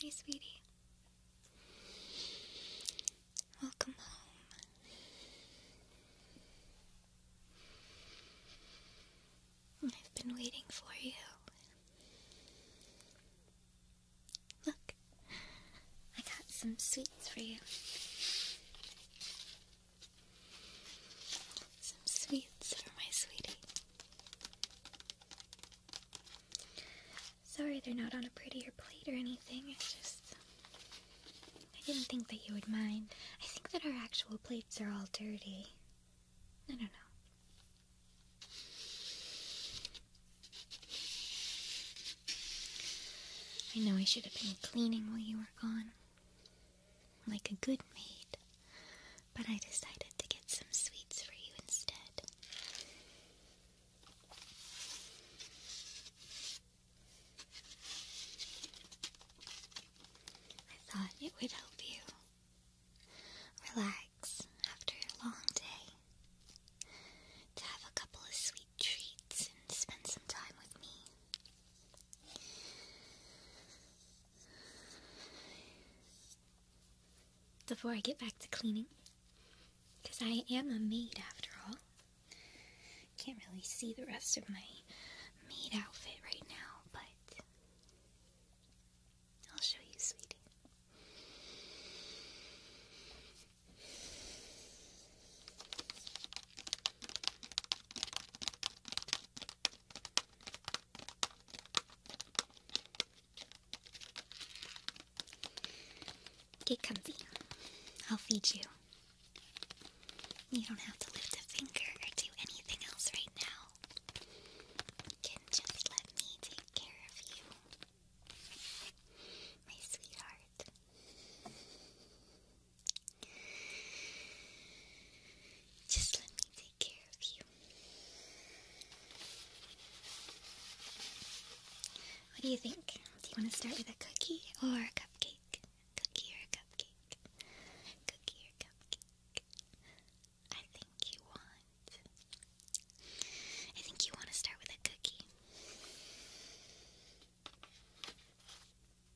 Hey, sweetie. Welcome home. I've been waiting for you. Look, I got some sweets for you. Some sweets for my sweetie. Sorry they're not on a prettier plate or anything. It's just. I didn't think that you would mind. I think that our actual plates are all dirty. I don't know. I know I should have been cleaning while you were gone. Like a good maid but I decided to get some sweets for you instead. I thought it would help you relax after a long day to have a couple of sweet treats and spend some time with me before I get back to cleaning. Because I am a maid after all. Can't really see the rest of my maid outfit right now, but I'll show you, sweetie. Get comfy. I'll feed you. You don't have to lift a finger or do anything else right now. can just let me take care of you, my sweetheart. Just let me take care of you. What do you think? Do you want to start with a cookie or a cupcake? Cookie or cupcake? Cookie or cupcake? I think you want. I think you want to start with a cookie.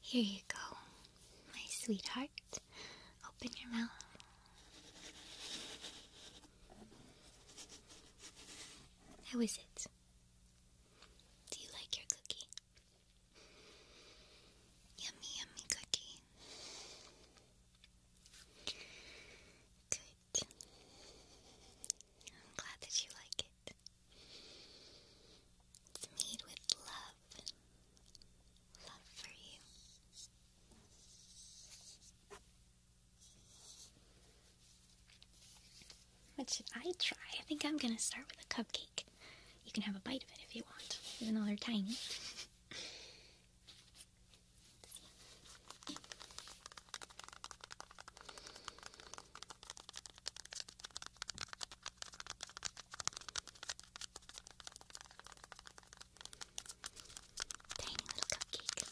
Here you go, my sweetheart. Open your mouth. How is it? Do you like your cookie? Yummy, yummy cookie. Good. I'm glad that you like it. It's made with love love, for you. What should I try? I think I'm gonna start with a cupcake. You can have a bite of it if you want, even though they're tiny. Tiny little cupcake.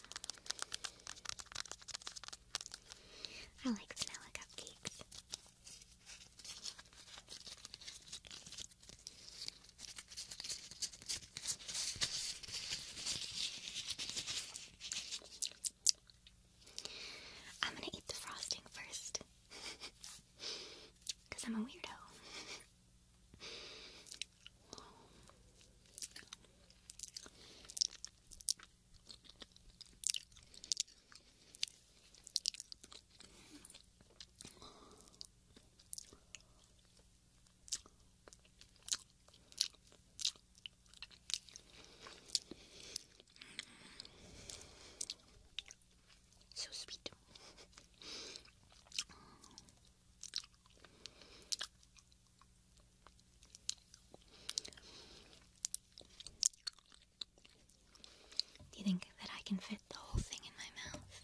I like vanilla cupcakes. I'm gonna eat the frosting first. Because I'm a weirdo. So sweet. Do you think that I can fit the whole thing in my mouth?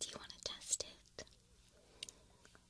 Do you want to test it?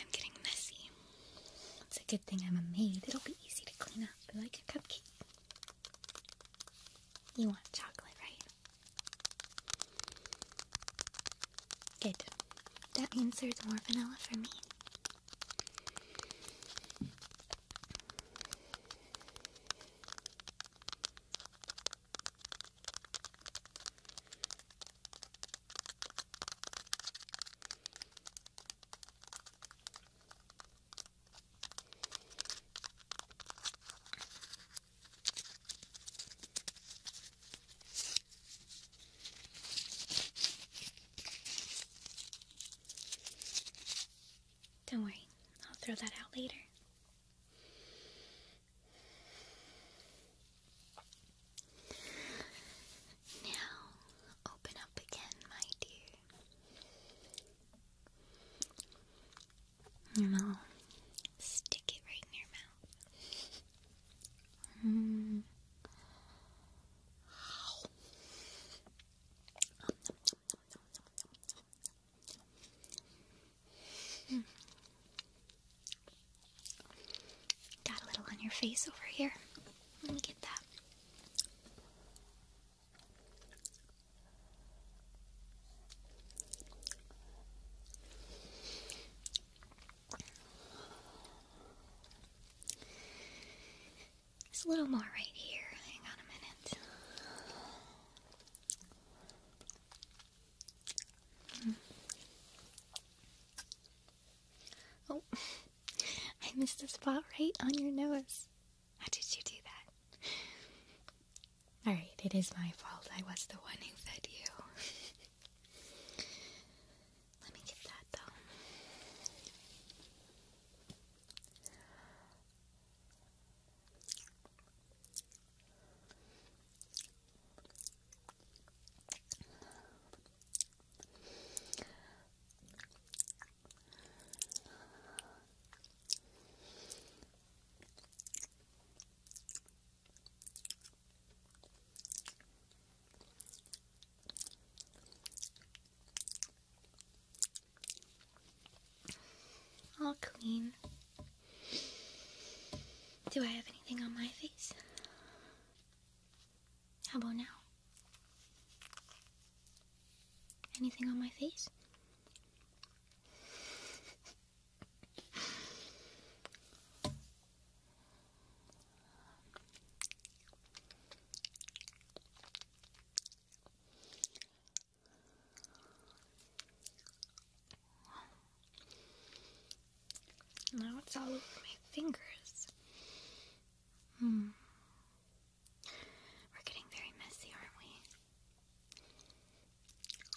I'm getting messy. It's a good thing I'm a maid. It'll be easy to clean up like a cupcake. You want chocolate, right? Good. That means there's more vanilla for me. Don't worry, I'll throw that out later. Now, open up again, my dear. And Stick it right in your mouth. Mm. Mm. Got a little on your face over here. Let me get that. There's a little more right here. Hang on a minute. Hmm. Oh, I missed a spot right on your nose. How did you do that? Alright, it is my fault. I was the one who fed you. Let me get that though. All clean. Do I have anything on my face? How about now? Anything on my face? Now it's all over my fingers. Hmm. We're getting very messy, aren't we?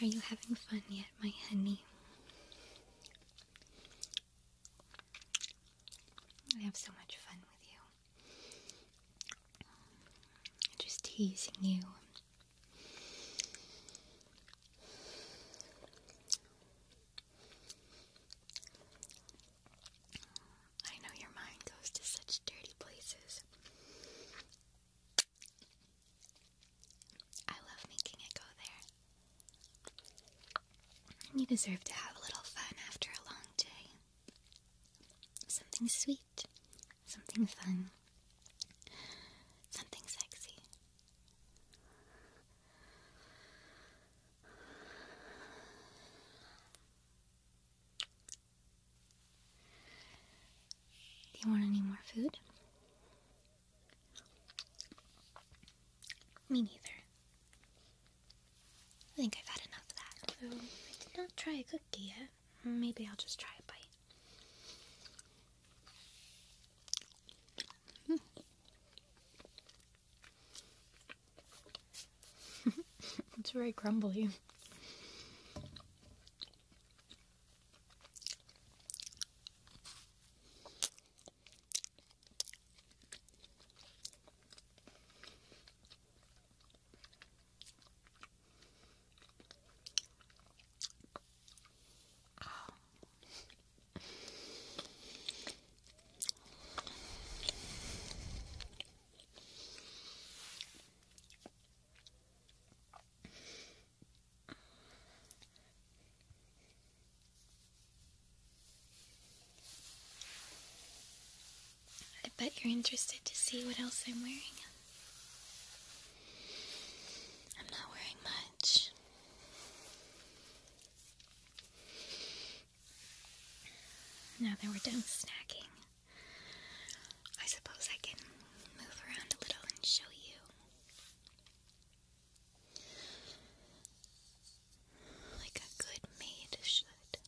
Are you having fun yet, my honey? I have so much fun with you. Just teasing you, I know your mind goes to such dirty places. I love making it go there. You deserve to have a little fun after a long day. Something sweet, something fun. Something sexy. Do you want any more food? Me neither. I think I've had enough of that. Oh, I did not try a cookie yet. Maybe I'll just try a bite. Hmm. it's very crumbly. I bet you're interested to see what else I'm wearing. I'm not wearing much. Now that we're done snacking, I suppose I can move around a little and show you. Like a good maid should.